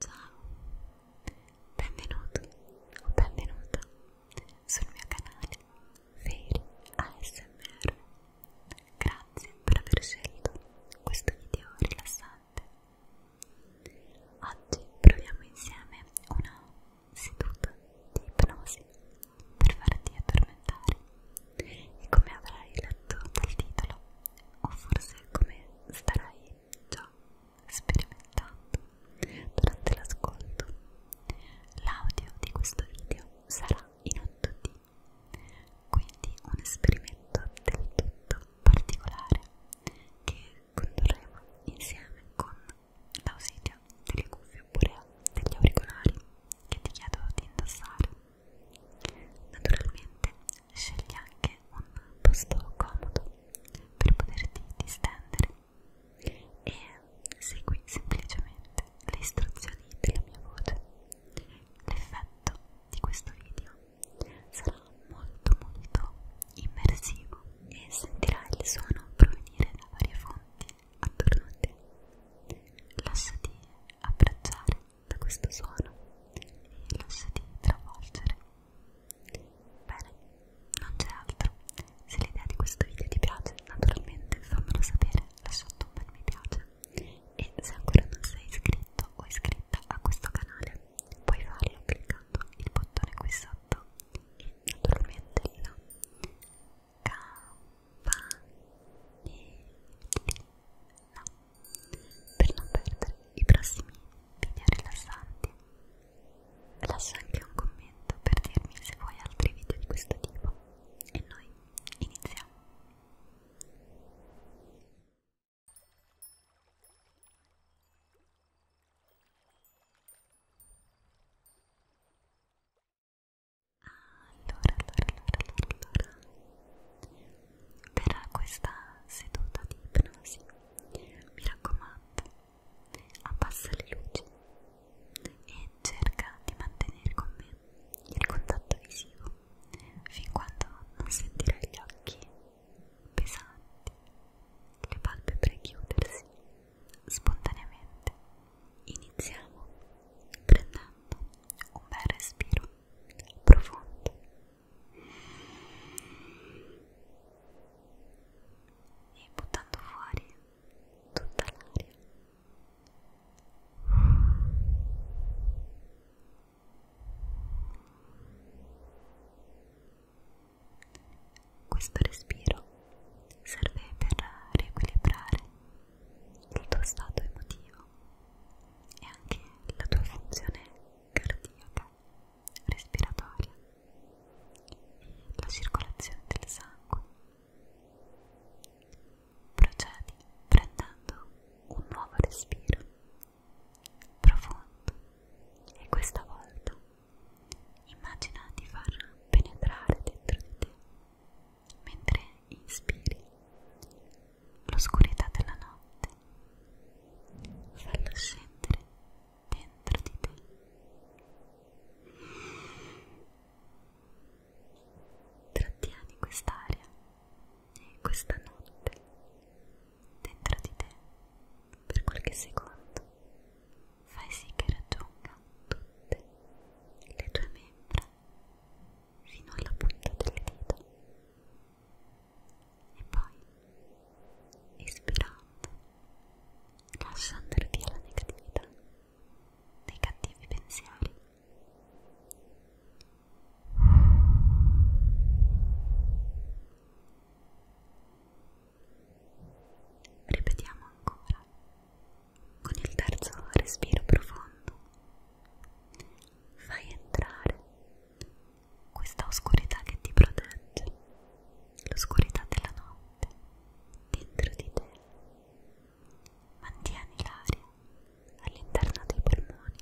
Ciao, benvenuto o benvenuta sul mio canale Fairy ASMR. Grazie per aver scelto questo video rilassante. Oggi proviamo insieme una seduta di ipnosi per farti addormentare e come avrai letto dal titolo o forse come starai già sto sperimentando durante l'ascolto. L'audio di questo video sarà in 8D, quindi un esperimento del tutto particolare che condurremo insieme con l'ausilio delle cuffie oppure degli auricolari che ti chiedo di indossare. Naturalmente scegli anche un posto comodo per poterti distendere e segui semplicemente le istruzioni della mia voce. L'effetto di questo video sarà molto molto immersivo e sentirai il suono provenire da varie fonti attorno a te. Lasciati abbracciare da questo suono e lasciati travolgere Bene, non c'è altro. Se l'idea di questo video ti piace, naturalmente fammelo sapere lasciando un bel mi piace. E se ancora non sei iscritto o iscritta a questo canale, puoi farlo cliccando il bottone qui sotto e naturalmente la campanellina per non perdere i prossimi video rilassanti. Lascia anche un commento per dirmi se vuoi altri video di questo tipo e noi iniziamo. Allora, allora, allora, allora, allora per questa seduta di ipnosi mi raccomando abbassa le luci e cerca di mantenere con me il contatto visivo fin quando non sentirai gli occhi pesanti le palpebre chiudersi spontaneamente iniziamo prendendo un bel respiro profondo e buttando fuori tutta l'aria. Questo respiro serve per riequilibrare il tuo stato emotivo e anche la tua funzione cardiaca respiratoria e la circolazione del sangue. Procedi prendendo un nuovo respiro profondo e questa volta immagina di far penetrare dentro di te mentre inspiri l'oscurità della notte, fallo scendere dentro di te. Trattieni quest'aria e questa notte dentro di te per qualche secondo. Fai sì che raggiunga tutte le tue membra fino alla punta delle dita e poi espirando lascia andare via la negatività dei cattivi pensieri ripetiamo ancora con il terzo respiro profondo fai entrare questa oscurità che ti protegge, l'oscurità della notte dentro di te. Mantieni l'aria all'interno dei polmoni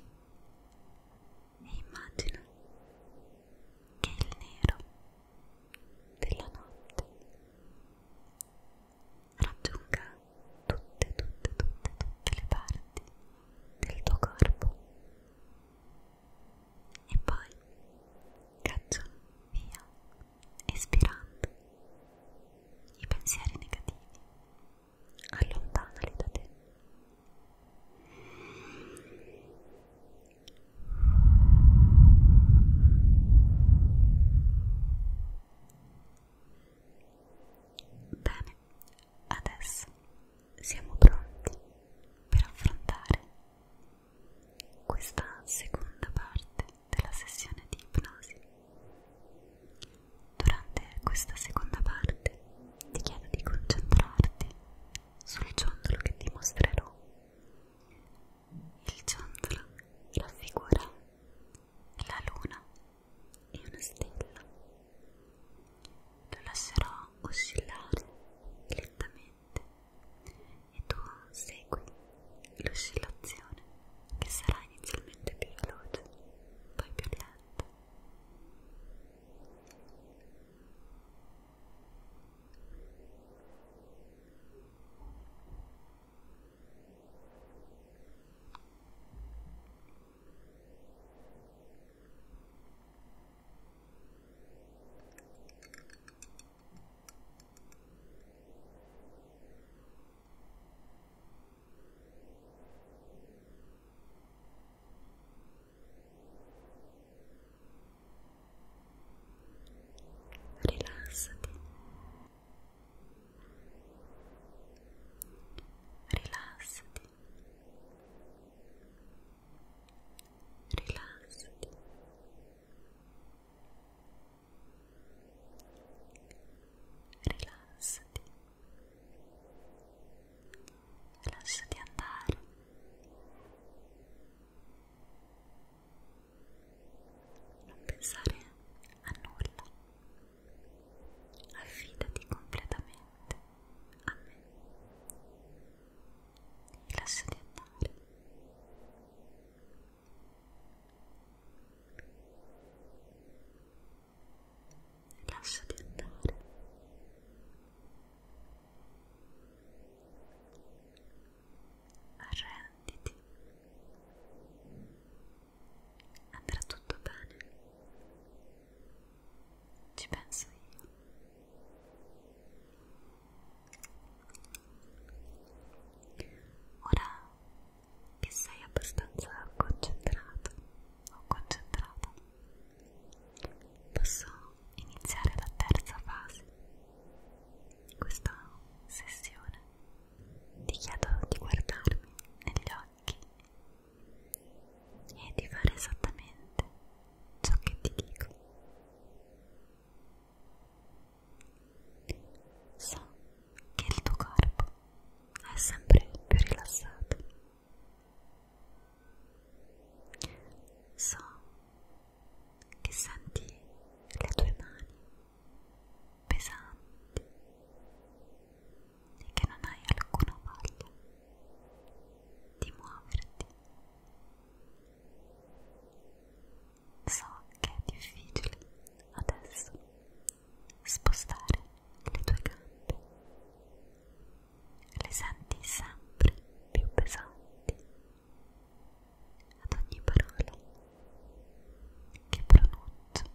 e immagina che il nero della notte raggiunga tutte, tutte, tutte, tutte le parti del tuo corpo e poi caccio via, espirando i pensieri negativi, allontanali da te. Bene, Adesso siamo pronti per affrontare questa seconda parte della sessione di ipnosi. Durante questa seconda parte ti chiedo di concentrarti sul ciondolo che ti mostrerò. Il ciondolo raffigura la luna e una stella lo lascerò oscillare lentamente e tu segui l'oscillazione che sarà inizialmente più veloce, poi più lenta. Ora Rilassati, rilassati, rilassati rilassati lasciati andare non pensare a nulla affidati completamente a me e lasciati andare lasciati andare arrenditi andrà tutto bene ci penso io. Ora che sei abbastanza concentrato o concentrata, posso iniziare la terza fase di questa sessione. Ti chiedo di guardarmi negli occhi e di fare esattamente ciò che ti dico. So che il tuo corpo è sempre più rilassato. So che senti le tue mani pesanti e che non hai alcuna voglia di muoverti. So che è difficile adesso spostare le tue gambe, le senti sempre più pesanti ad ogni parola che pronuncio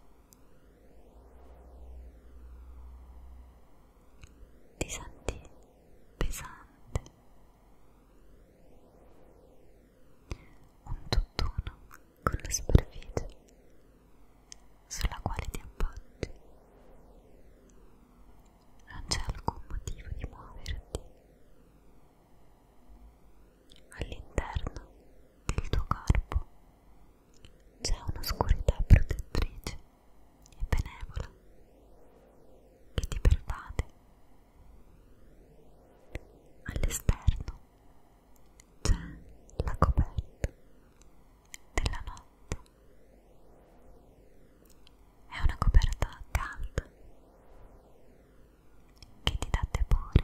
ti senti pesante, un tutt'uno con la superficie sulla quale ti appoggi. Non c'è alcun motivo di muoverti. All'interno del tuo corpo c'è un'oscurità protettrice e benevola che ti pervade. All'esterno c'è la coperta della notte. È una coperta calda che ti dà tepore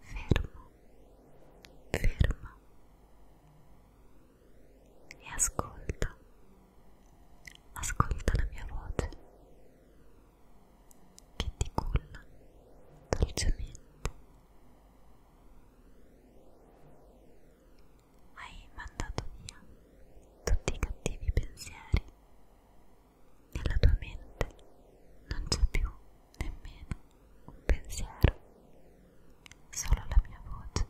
fermo, ferma e ascolta, ascolta la mia voce che ti culla dolcemente. Hai mandato via tutti i cattivi pensieri. Nella tua mente non c'è più nemmeno un pensiero, solo la mia voce.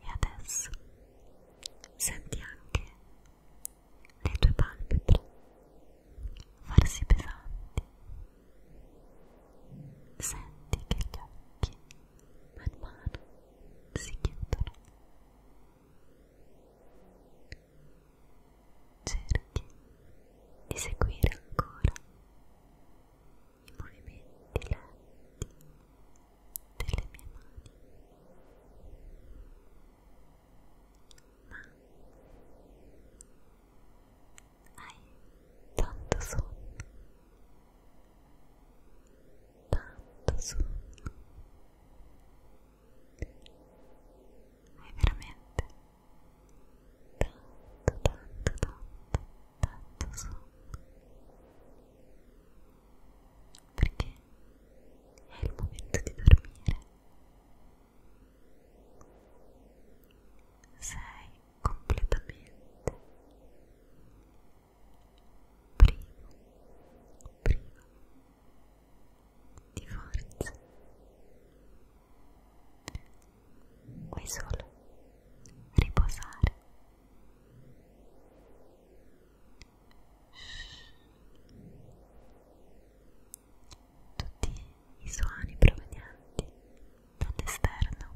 E adesso senti anche le tue palpebre farsi pesanti. Senti che gli occhi man mano si chiudono cerchi di seguire ancora i movimenti lenti delle mie mani ma hai tanto sonno tanto sonno hai veramente tanto, tanto, tanto, tanto sonno perché è il momento di dormire. Sei completamente privo, privo di forza vuoi solo riposare tutti i suoni provenienti dall'esterno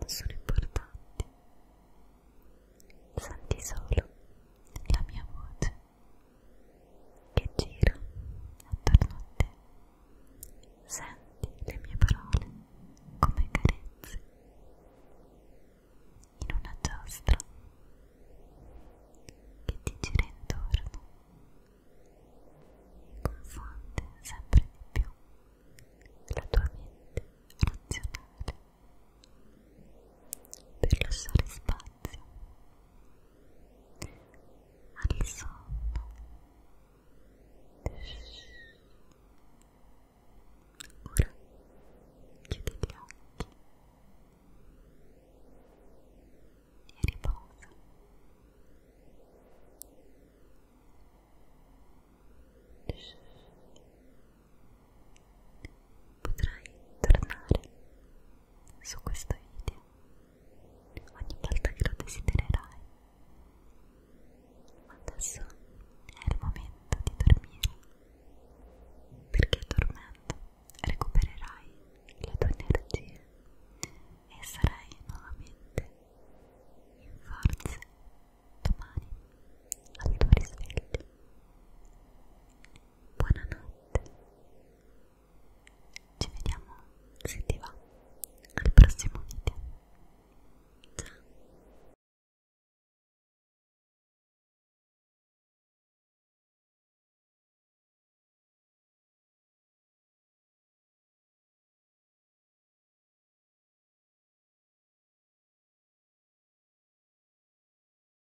non sono importanti senti solo la mia voce che gira attorno a te. Senti le mie parole come carezze in una giostra che ti gira intorno e confonde sempre di più la tua mente razionale per lasciare spazio al sonno ora chiudi gli occhi e riposa Riposa potrai tornare su questo video ogni volta che lo desidererai ma adesso è il momento di dormire perché dormendo recupererai la tua energia e sarai nuovamente in forze domani al tuo risveglio buonanotte. Ci vediamo, se ti va, al prossimo video. Ciao.